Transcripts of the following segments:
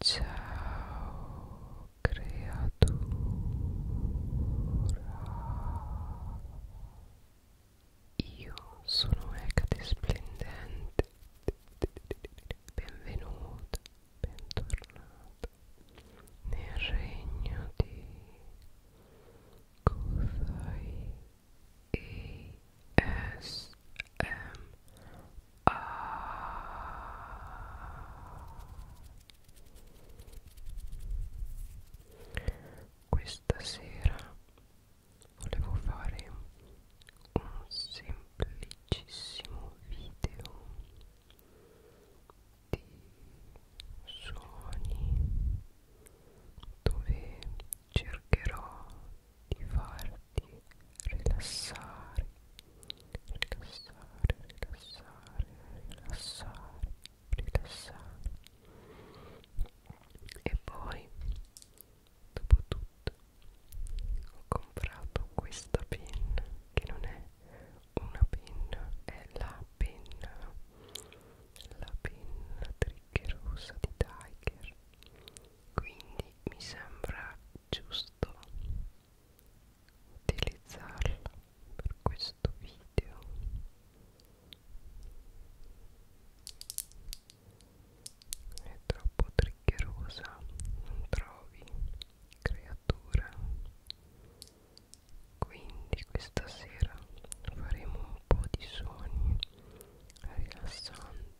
Ciao creatura Io sono Ecate Splendente Benvenuta, bentornata nel regno di Kuzai Ah. Questa sera volevo fare un semplicissimo video di suoni dove cercherò di farti rilassare, rilassare, rilassare, rilassare, rilassare. E poi, dopo tutto, ho comprato questa penna che non è una penna, è la penna, la penna triggerosa di Tiger quindi mi sembra giusto utilizzarla per questo video è troppo triggerosa non trovi creatura quindi questa sera faremo un po' di suoni rilassanti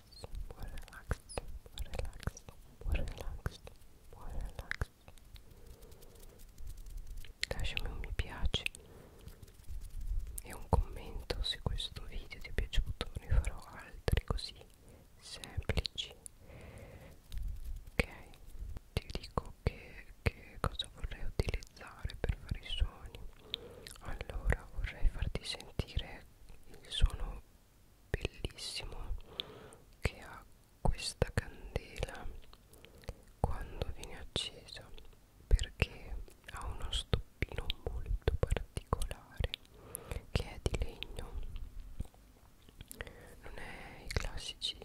relax, more relax, more relax, more relax, more relax. Lasciami un mi piace e un commento se questo video ti è piaciuto, ne farò altri così semplici. Ok, ti dico che, che cosa vorrei utilizzare per fare i suoni. Allora vorrei farti sentire il suono bellissimo che ha questa candela quando viene accesa perché ha uno stoppino molto particolare che è di legno non è i classici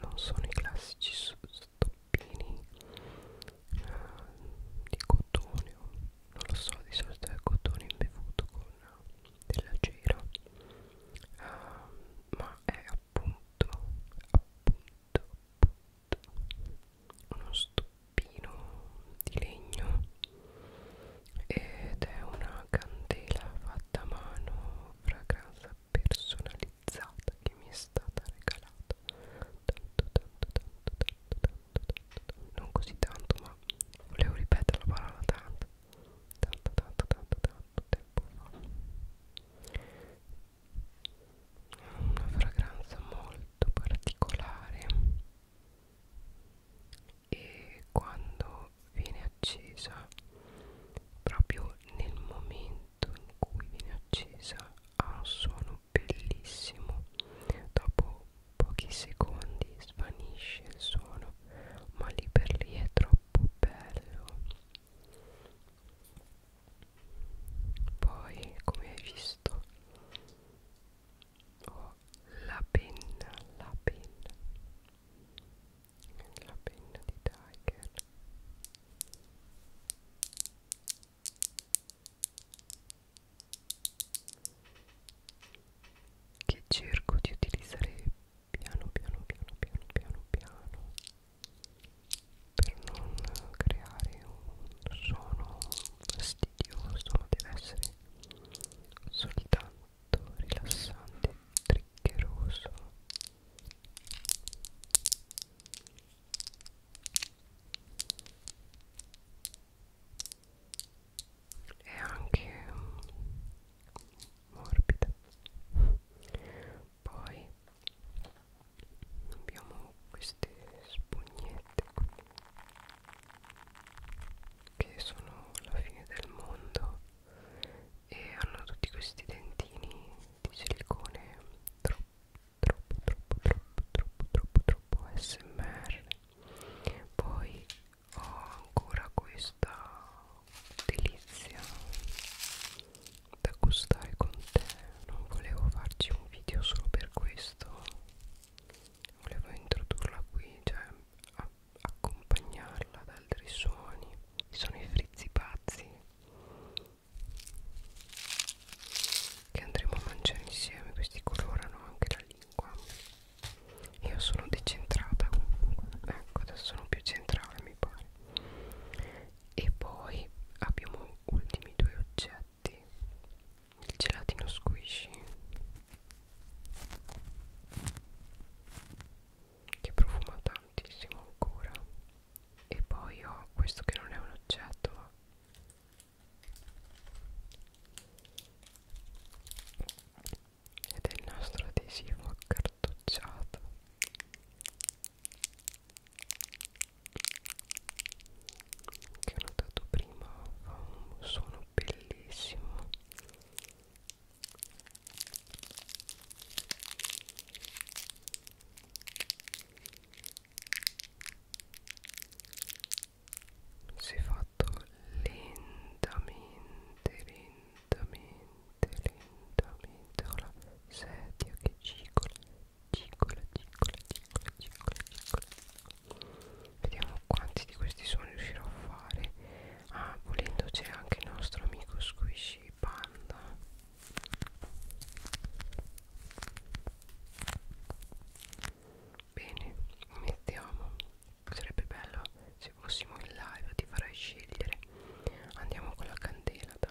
non sono i classici stoppini uh, di cotone o non lo so di solito è cotone imbevuto con della cera uh, ma è appunto appunto appunto uno stoppino di legno ed è una candela fatta a mano fragranza personalizzata che mi è stata regalata tanto tanto tanto tanto tanto non così tanto ma volevo ripetere la parola tanto tanto tanto tanto tanto tempo fa una fragranza molto particolare e quando viene accesa proprio nel momento in cui viene accesa ha un suono bellissimo dopo pochi secondi svanisce il suono ma lì per lì è troppo bello poi come hai visto ho la penna la penna la penna di Tiger che cerco di utilizzare piano piano piano piano piano piano per non creare un suono fastidioso ma deve essere soltanto rilassante triggeroso è anche morbida poi abbiamo queste spugnette che sono la fine del mondo e hanno tutti questi dentini di silicone troppo troppo troppo troppo troppo troppo troppo smr poi ho ancora questa delizia da gustare con te non volevo farci un video solo per questo volevo introdurla qui cioè a accompagnarla ad altri suoni sono i frizzi pazzi che andremo a mangiare insieme questi colorano anche la lingua io sono decentrata comunque ecco adesso sono più centrale mi pare e poi abbiamo ultimi due oggetti il gelatino squishy che profuma tantissimo ancora e poi ho questo che non è un oggetto ma ed è il nostro adesivo accartocciato che ho notato prima fa un suono bellissimo si è fatto lentamente lentamente lentamente con la sedia che cicola cicola cicola cicola cicola cicola vediamo quanti di questi suoni riuscirò a fare ah volendo c'è anche il nostro amico squishy panda Bene, iniziamo. Sarebbe bello se fossimo in live, ti farai scegliere. Andiamo con la candela, dai.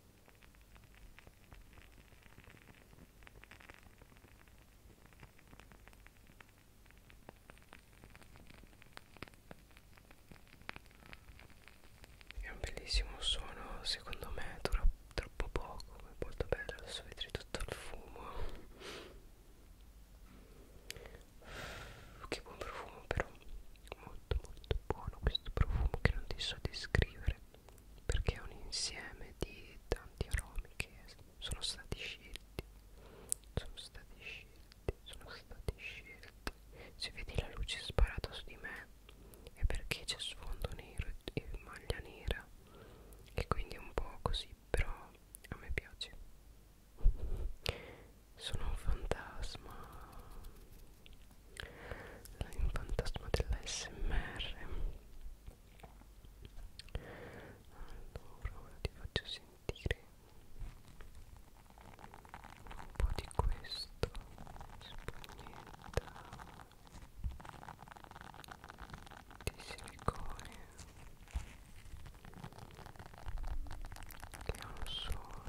È un bellissimo suono, secondo me dura troppo poco, è molto bello, adesso vedrete tutto il fumo. Che buon profumo però molto molto buono questo profumo che non ti so descrivere perché è un insieme di tanti aromi che sono stati scelti sono stati scelti sono stati scelti se vedi la luce sparata su di me è perché c'è sfondo nero e maglia nera e quindi è un po' così però a me piace sono un fantasma un fantasma dell'ASMR allora ora ti faccio sentire un po' di questo spugnetta di silicone che ha un suono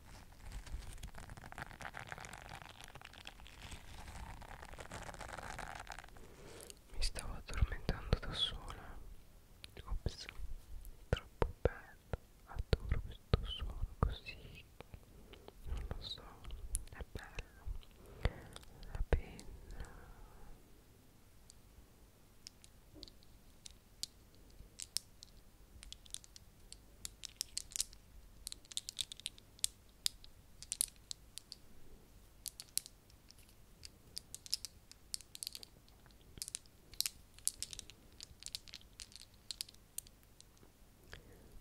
Mi stavo addormentando da sola. Ops, troppo bello. Adoro questo suono così. Non lo so, è bello. La penna.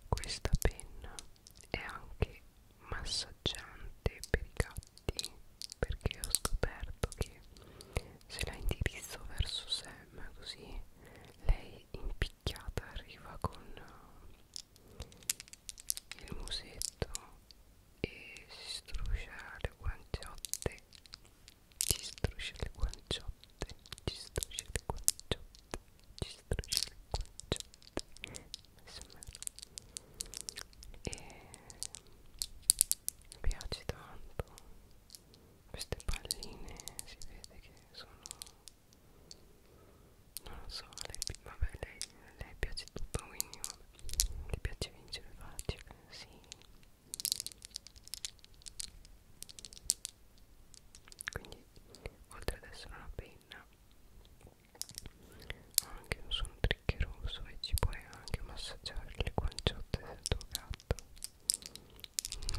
Questa penna è anche massaggiante per i gatti perché ho scoperto che se la indirizzo verso Sam così lei impicchiata arriva con eh, il musetto e si struscia le guanciotte ci struscia le guanciotte ci struscia le guanciotte ci struscia le guanciotte e mi piace tanto queste palline si vede che sono non lo so lei, vabbè lei, lei piace tutto quindi vabbè. le piace vincere facile sì quindi oltre ad essere una penna ha anche un suono triccheroso e ci puoi anche massaggiare le guanciotte del tuo gatto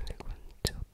le guanciotte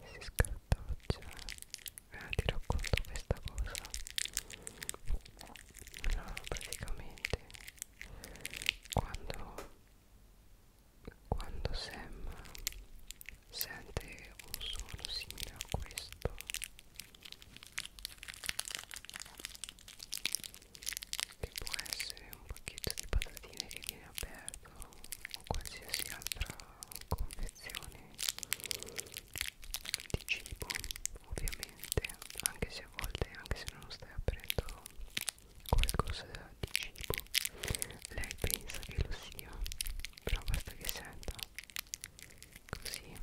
si scartoccia cioè, eh, ti racconto questa cosa no, praticamente quando quando Sam sente un suono simile a questo che può essere un pacchetto di patatine che viene aperto o qualsiasi altra confezione di cibo ovviamente anche se a volte anche se non stai aprendo qualcosa di cibo lei pensa che lo sia però basta che senta così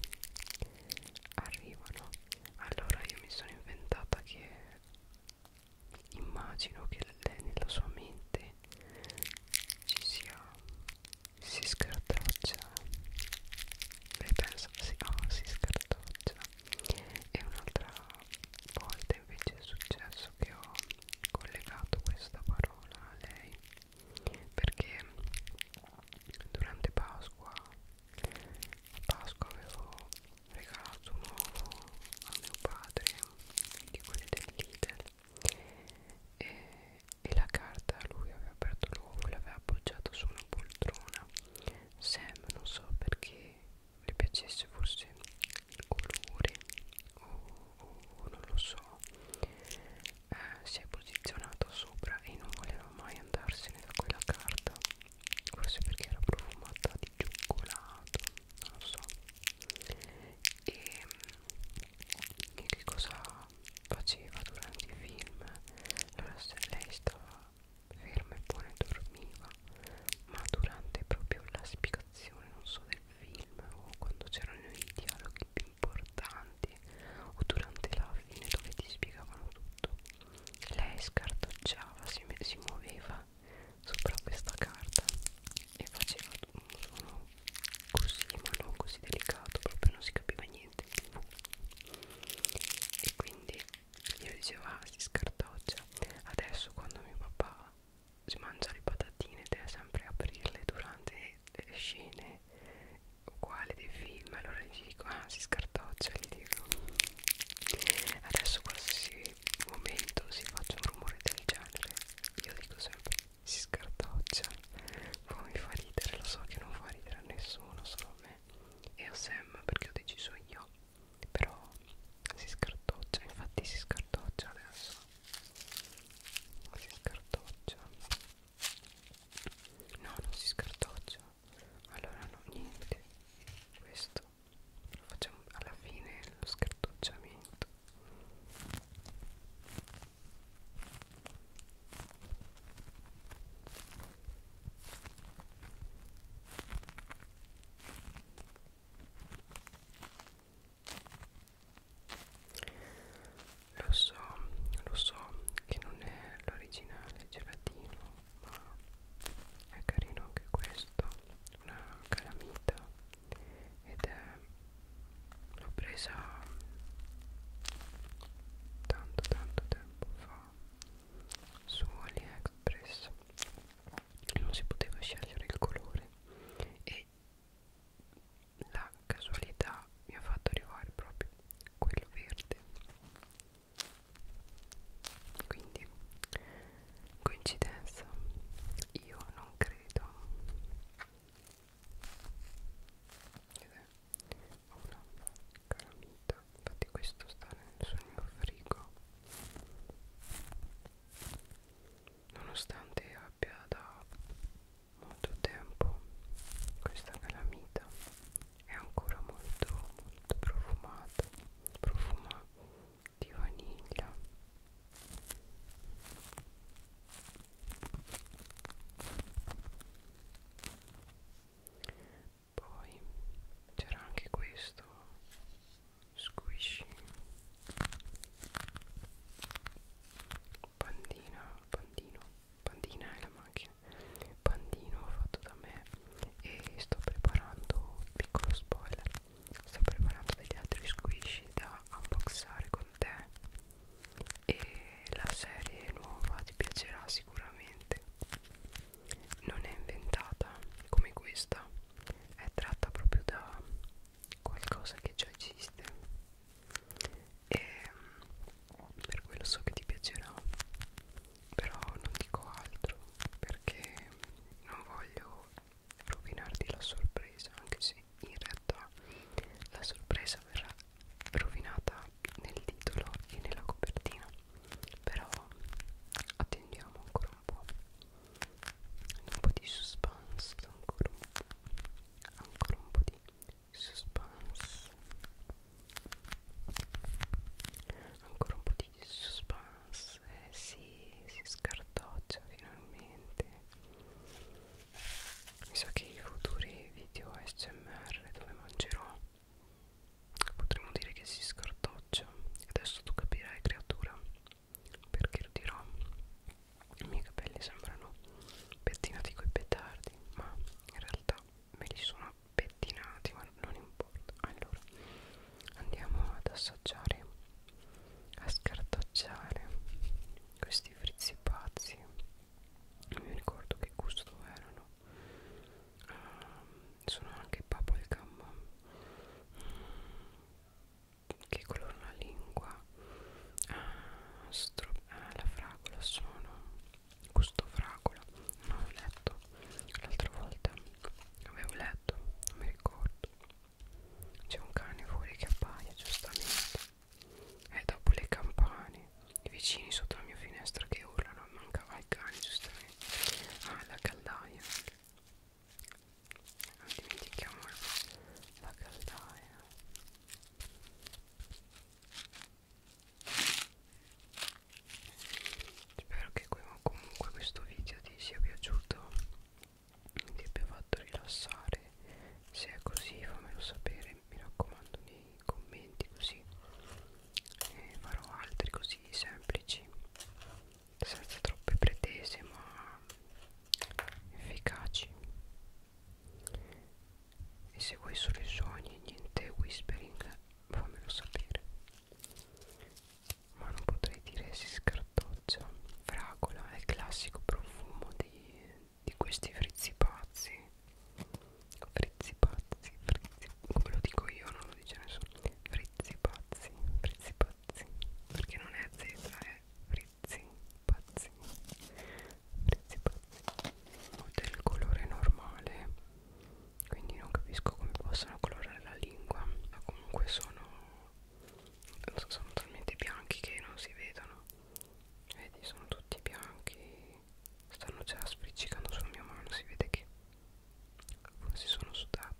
arrivano allora io mi sono inventata che immagino che lei nella sua mente ci sia si scartoccia lei pensa sì, oh, ah, si scartoccia e un'altra volta invece è successo che ho collegato questa parola a lei perché durante Pasqua a Pasqua avevo regalato un uovo a mio padre di quelli del Lidl e, e la carta lui aveva aperto l'uovo e l'aveva appoggiato su una poltrona Sam non so perché le piacesse forse il colore o, o non lo so eh, si è posizionato sopra e non voleva mai andarsene da quella carta forse perché era profumata di cioccolato non lo so e, e che cosa faceva durante i film allora se lei stava ferma e poi dormiva ma durante proprio la spiegazione non so del film o quando c'erano i dialoghi più importanti o durante la fine dove ti spiegavano tutto lei scartocciava, si, si muoveva sopra questa carta e faceva un suono così, ma non così delicato, proprio non si capiva niente e quindi io dicevo ah si scartoccia adesso quando mio papà si mangia le patatine deve sempre aprirle durante le scene quale dei film allora gli dico ah si scartoccia gli dico adesso qualsiasi momento si faccia un rumore del genere io dico sempre si scartoccia poi mi fa ridere lo so che non fa ridere a nessuno solo a me e a Sam perché ho deciso io però si scartoccia infatti si scartoccia adesso si scartoccia no non si scartoccia allora no niente questo lo facciamo alla fine lo scartucciamento lo so, lo so che non è l'originale gelatino ma è carino anche questo una calamita ed è l'ho presa tanto tanto tempo fa su AliExpress non si poteva scegliere il colore e la casualità mi ha fatto arrivare proprio quello verde quindi coincidenza io non credo ed è una calamita infatti questo sta nel sul mio frigo nonostante abbia da molto tempo questa calamita è ancora molto molto profumato profuma di vaniglia poi c'era anche questo squishy pandina pandino pandina è la macchina bandino fatto da me e sto preparando piccolo spoiler sto preparando degli altri squishy da unboxare con te e la serie nuova ti piacerà sicuramente non è inventata come questa è tratta proprio da qualcosa che già esiste e per quello so che ti piacerà però non dico altro perché non voglio rovinarti la sorpresa anche se in realtà la sorpresa verrà rovinata nel titolo e nella copertina però attendiamo ancora un po' un po' di suspense ancora un po', ancora un po' di suspense ancora un po' di suspense eh, si, si scartoccia finalmente mi sa che i futuri video smr dove mangerò potremmo dire che si scartoccia adesso tu capirai creatura perché lo dirò i miei capelli sembrano pettinati coi petardi comprati ma in realtà me li sono pettinati ma non importa allora andiamo ad assaggiare a scartocciare questi frizzi pazzi non mi ricordo che gusto erano uh, sono anche papalgam mm, che colorano la lingua ah, stro ah, eh, la fragola sono gusto fragola non ho letto l'altra volta avevo letto non mi ricordo c'è un cane fuori che appaia giustamente e dopo le campane i vicini sotto la mia finestra che urlano mancava il cane giustamente ah la caldaia non dimentichiamo la caldaia spero che comunque questo video ti sia piaciuto ti abbia fatto rilassare se è così fammelo sapere mi raccomando nei commenti così e farò altri così semplici senza troppe pretese ma efficaci mi segui solo i sogni niente whispering fammelo sapere ma non potrei dire si scartoccia fragola è il classico profumo di, di questi frizzi pazzi frizzi pazzi frizzi come lo dico io non lo dice nessuno frizzi pazzi frizzi pazzi perché non è z è frizzi pazzi pazzi prezzi pazzi del colore normale quindi non capisco come possano colorare la lingua ma comunque sono non so, sono talmente bianchi che non si vedono vedi sono tutti bianchi stanno già spriccicando sulla mia mano si vede che forse sono sudata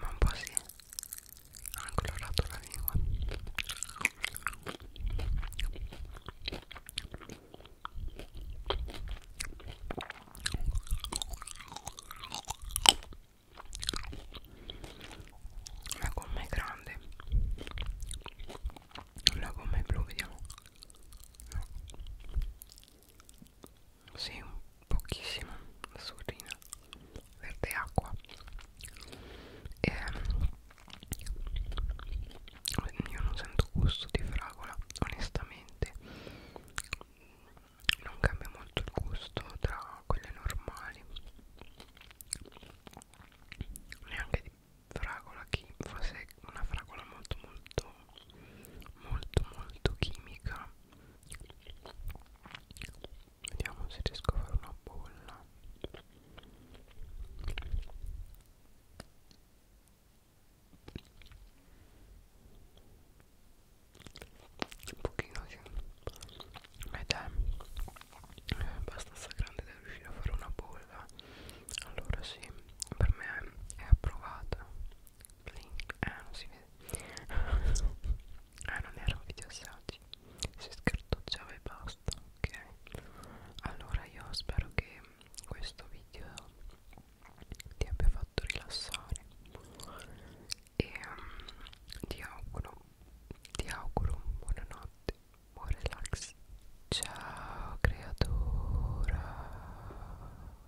ma un po' sì ha colorato la lingua la gomma è grande la gomma è blu vediamo no sì, pochissimo, assurrina, verde acqua e, ehm, Io non sento gusto di fragola, onestamente Non cambia molto il gusto tra quelle normali Neanche di fragola, forse una fragola molto molto molto molto chimica Vediamo se riesco a fare una bolla un pochino sì ed è eh, abbastanza eh, grande da riuscire a fare una bolla allora sì per me è approvata Blink. Ah, non si vede. ah, non era un video assaggi. Si scartocciava e basta. Ok. Allora io spero che questo video ti abbia fatto rilassare. E um, ti auguro, ti auguro buonanotte, buon relax. Ciao creatura.